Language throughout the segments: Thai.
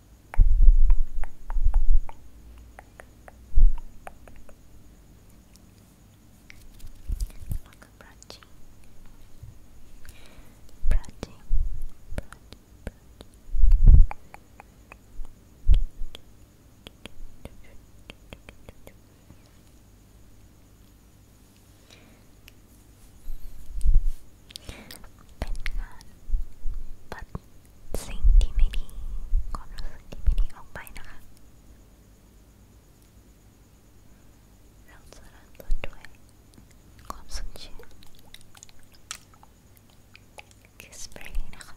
Look, brushing, brushing, brushing, brushing. เป็นการปัดสิ่งที่ไม่ดีความรู้สึกที่ไม่ดีออกไปนะคะเราจะเริ่มต้นด้วยความสดชื่นคือสเปรย์นะคะ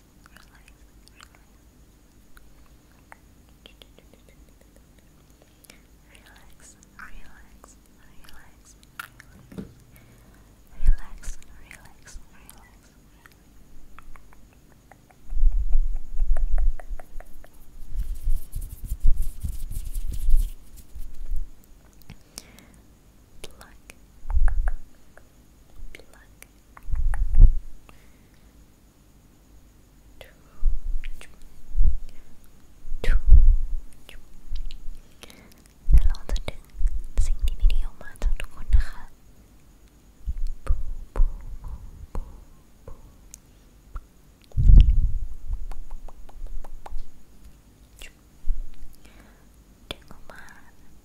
relax, relax, relax, relax, relax, relax. Pluck, pluck, pluck, แล้วเราจะดึงสิ่งที่ไม่ดีออกมาจากทุกคนนะคะดึงออกมา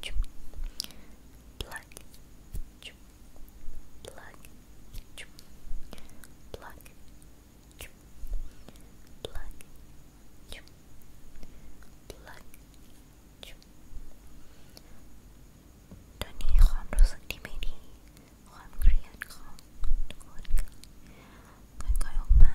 Chup. Plug. Chup. Plug. Chup. Plug. Chup. Plug. Chup. Plug. Chup. ตอนนี้ความรู้สึกที่ไม่ดีความเครียดของทุกคนค่อยๆออกมา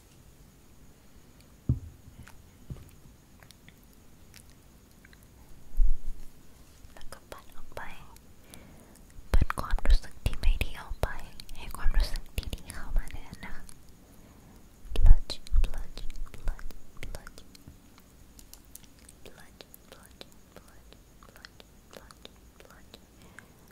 แล้วก็ปัดออกไปปัดความรู้สึกที่ไม่ดีออกไป ให้ความรู้สึกที่ดีเข้ามาแทนนะคะ plunge plunge plunge plunge plunge plunge plunge plunge plunge plunge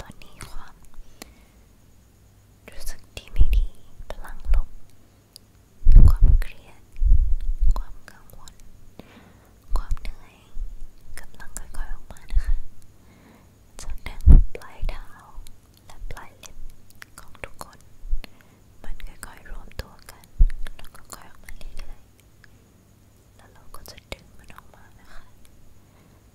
ตอนนี้ความ รู้สึกที่ไม่ดีพลังลบความเครียดความกังวล ความเหนื่อยกำลังค่อยๆออกมานะคะจากดังปลายเท้าและปลายเล็บของทุกคนมันค่อยๆรวมตัวกันแล้วก็ค่อยออกมาเรื่อยๆแล้วเราก็จะดึงมันออกมานะคะ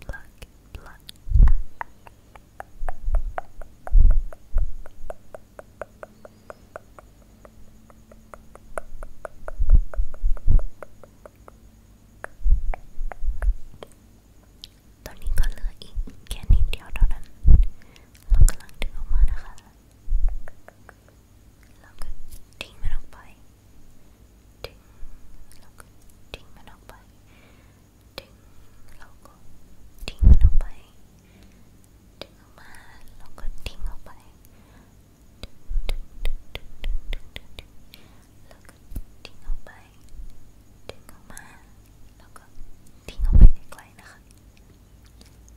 pluck, pluck. Tony ก็เหลืออีกแค่นิดเดียวเท่านั้นเรากำลังดึงออกมานะคะเราก็ทิ้งมันออกไปทิ้งเราก็ทิ้งมันออกไปดึงเราก็ทิ้งมันออกไปดึงออกมาเราก็ทิ้งออกไปดึงดึงดึงดึงดึงดึงดึงแล้วก็ทิ้งออกไปดึงออกมาแล้วก็ทิ้งออกไปไกลๆนะคะ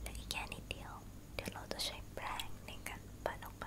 และอีกแค่นิดเดียวเดี๋ยวเราจะใช้แปรงในการปัดออกไป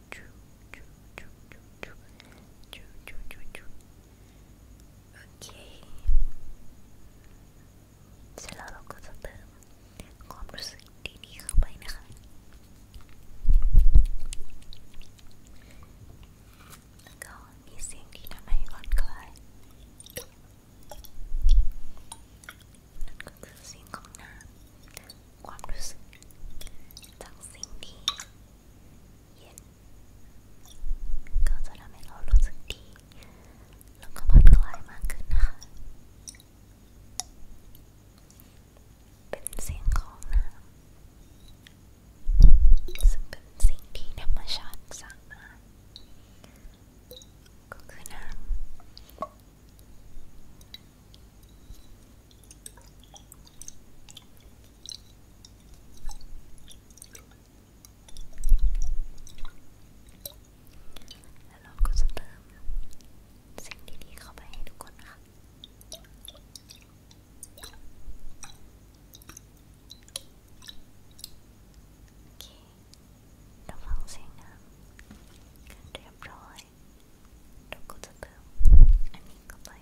โอเคเสร็จแล้วเราก็จะเติมความรู้สึกดีๆเข้าไปนะคะ แล้วก็มีเสียงที่ทำให้ผ่อนคลายนั่นก็คือเสียงของน้ำ ความรู้สึกจากสิ่งที่เย็นก็จะทำให้เรารู้สึกดีแล้วก็ผ่อนคลายมากขึ้นนะคะ เป็นเสียงของน้ำซึ่งเป็นสิ่งที่ธรรมชาติสร้างมาก็คือน้ำแล้วเราก็จะเติมสิ่งดีๆเข้าไปให้ทุกคนนะคะโอเคเราฟังเสียงน้ำกันเรียบร้อยเราก็จะเติมอันนี้เข้าไป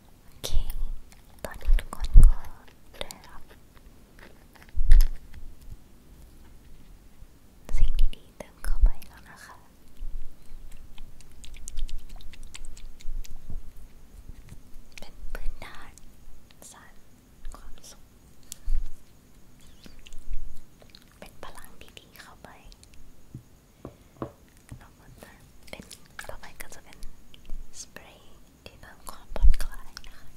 โอเค ตอนนี้ทุกคนก็ได้รับสิ่งดีๆเติมเข้าไปแล้วนะคะ เป็นพื้นฐานสร้างความสุขเป็นพลังที่ดีเข้าไปแล้วก็จะเป็นต่อไปก็จะเป็นสเปรย์ที่เพิ่มความผ่อนคลายนะคะ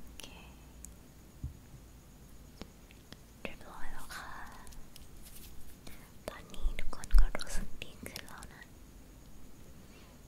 โอเคเรียบร้อยแล้วค่ะ ตอนนี้ทุกคนก็รู้สึกดีขึ้นแล้วนะ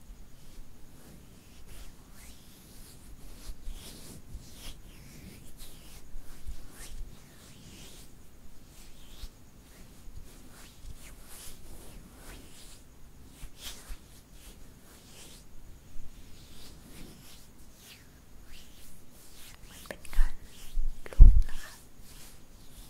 มันเป็นการลุกนะคะ